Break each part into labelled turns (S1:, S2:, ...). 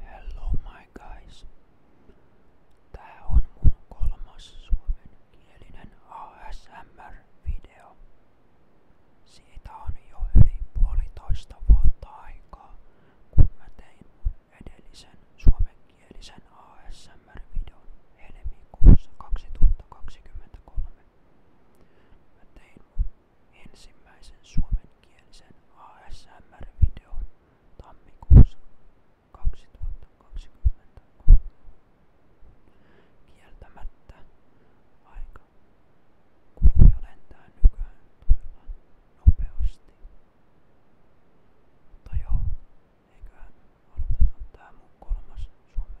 S1: Hello my guys. Tää on mun kolmas suomenkielinen ASMR-video. Siitä on jo yli puolitoista vuotta aikaa, kun mä tein mun edellisen suomenkielisen ASMR-videon helmikuussa 2023. Mä tein mun ensimmäisen suomenkielisen ASMR-videon tammikuussa 2023. Kieltämättä aika kuluu jo lentää nykyään todella nopeasti. Mutta joo, eiköhän aloiteta tää mun kolmas suomen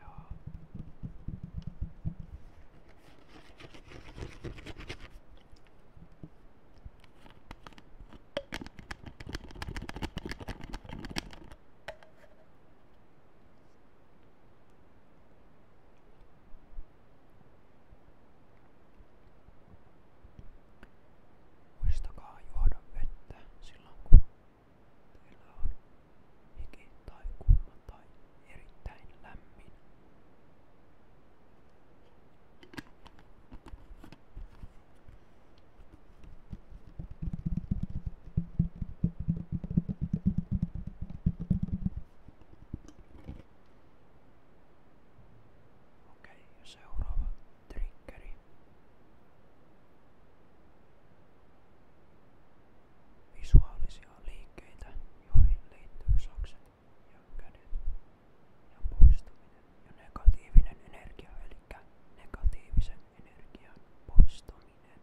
S1: Ja. Muistakaa juoda vettä silloin kun Teillä on hiki tai kuuma tai erittäin lämmin. Okei, seuraava triggeri visuaalisia liikkeitä, joihin liittyy sakset ja kädet ja poistaminen ja negatiivinen energia, eli negatiivisen energian poistaminen. Okay.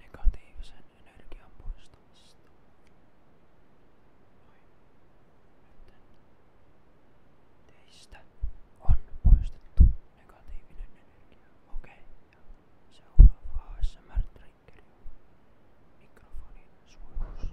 S1: negatiivisen energian poistamista. Noin. Nyt teistä on poistettu negatiivinen energia. Okei. Okay. Seuraava ASMR-triggeri on mikrofonin suojuus.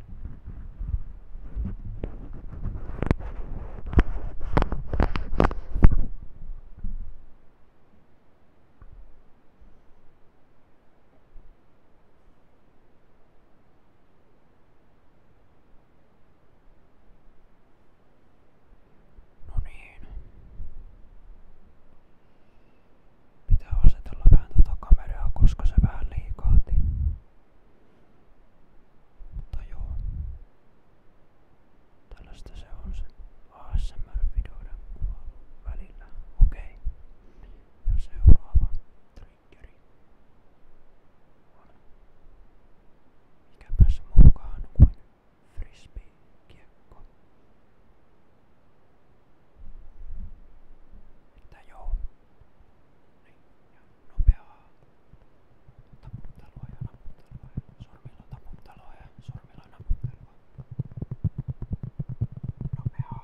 S1: No niin. Pitää asetella vähän tuota kameraa, koska se vähän liikaati. Mutta joo. Tällaista se on se ASMR-videoiden kuvailu välillä. Okei. Okay. Ja seuraava triggeri on mikäpäs mukaan kuin frisbee-kiekko. Että joo. Niin, ja nopeaa taputtelua ja naputtelua ja sormilla taputtelua ja sormilla naputtelua. Nopeaa. Nopeaa.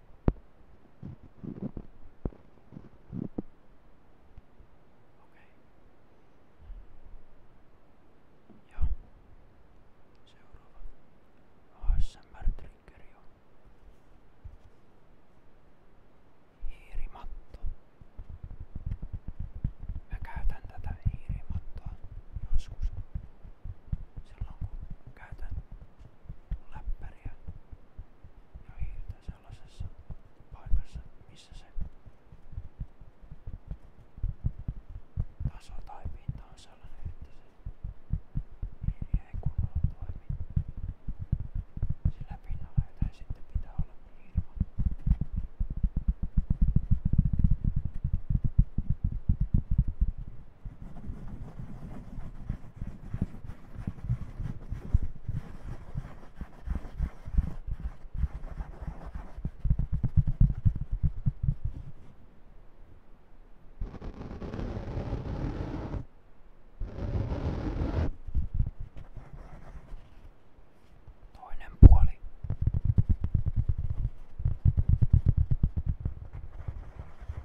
S1: Okej. Okay. Joo. Seuraava. ASMR-trigger jo. Hiirimatto. Mä käytän tätä hiirimattoa joskus. Silloin kun käytän läppäriä ja hiirtä sellaisessa paikassa, missä se taso tai pinta on sellainen, että se hiiri ei kunnolla toimi sillä pinnalla, jota ei sitten pitää olla ilman. Toinen puoli.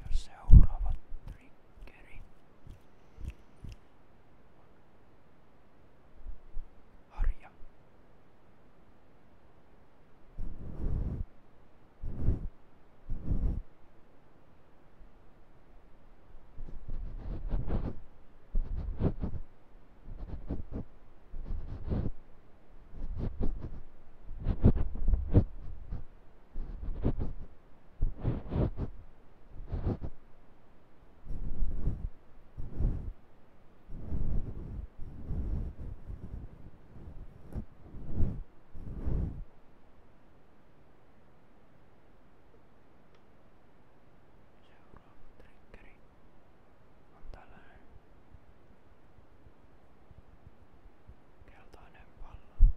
S1: Ja seuraava triggeri. Harja triggeri on tällainen keltainen pallo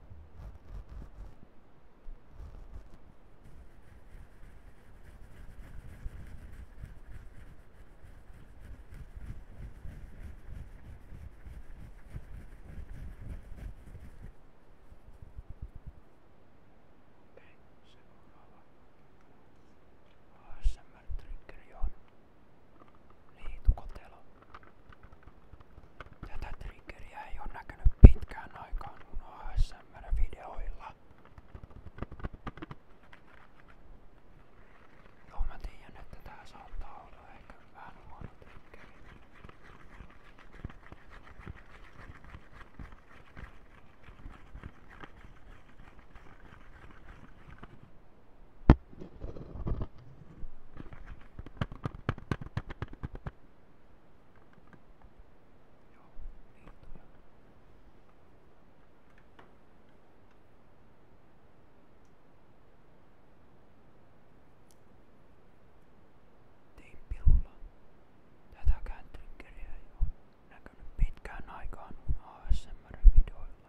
S1: Okei, okay, seuraava ASMR-triggeri on niin, tukotelo. Tätä triggeriä ei oo näkynyt pitkään aikaan mun ASMR-videoilla. Joo, mä tiedän, että tää saattaa olla ehkä vähän huono triggeri. Tein pirulla. Tätäkään triggeriä ei ole näkynyt pitkään aikaan mun ASMR-videoilla.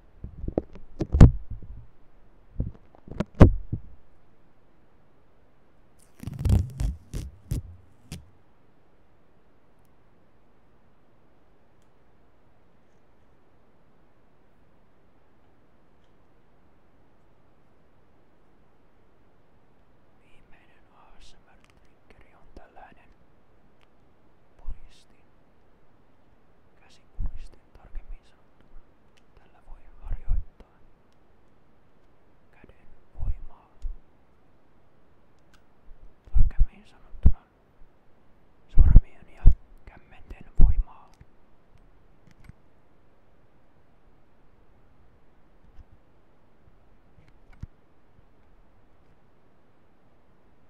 S1: Viimeinen ASMR-triggeri on tällainen puristin, käsipuristi tarkemmin sanottuna tällä voi harjoittaa käden voimaa. Tarkemmin sanottuna sormien ja kämmenten voimaa.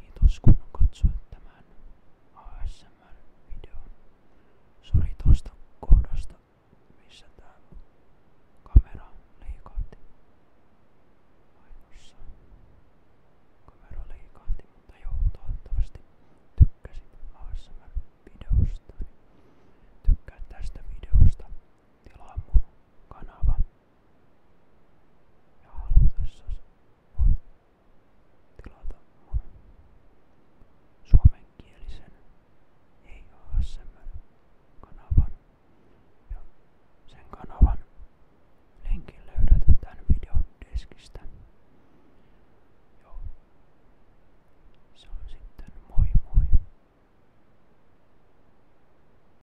S1: Kiitos kun katsoit tämän ASMR-videon. Sori tosta kohdasta, missä tää kamera liikahti. Ainoassa kamera liikahti, mutta joo, toivottavasti tykkäsit ASMR-videosta. Niin Tykkää tästä videosta, tilaa mun kanava. Ja halutessasi voit tilata mun suomenkielisen ei ASMR-kanavan. Ja sen kanavan linkin löydät tämän videon deskistä. Joo. Se on sitten moi moi.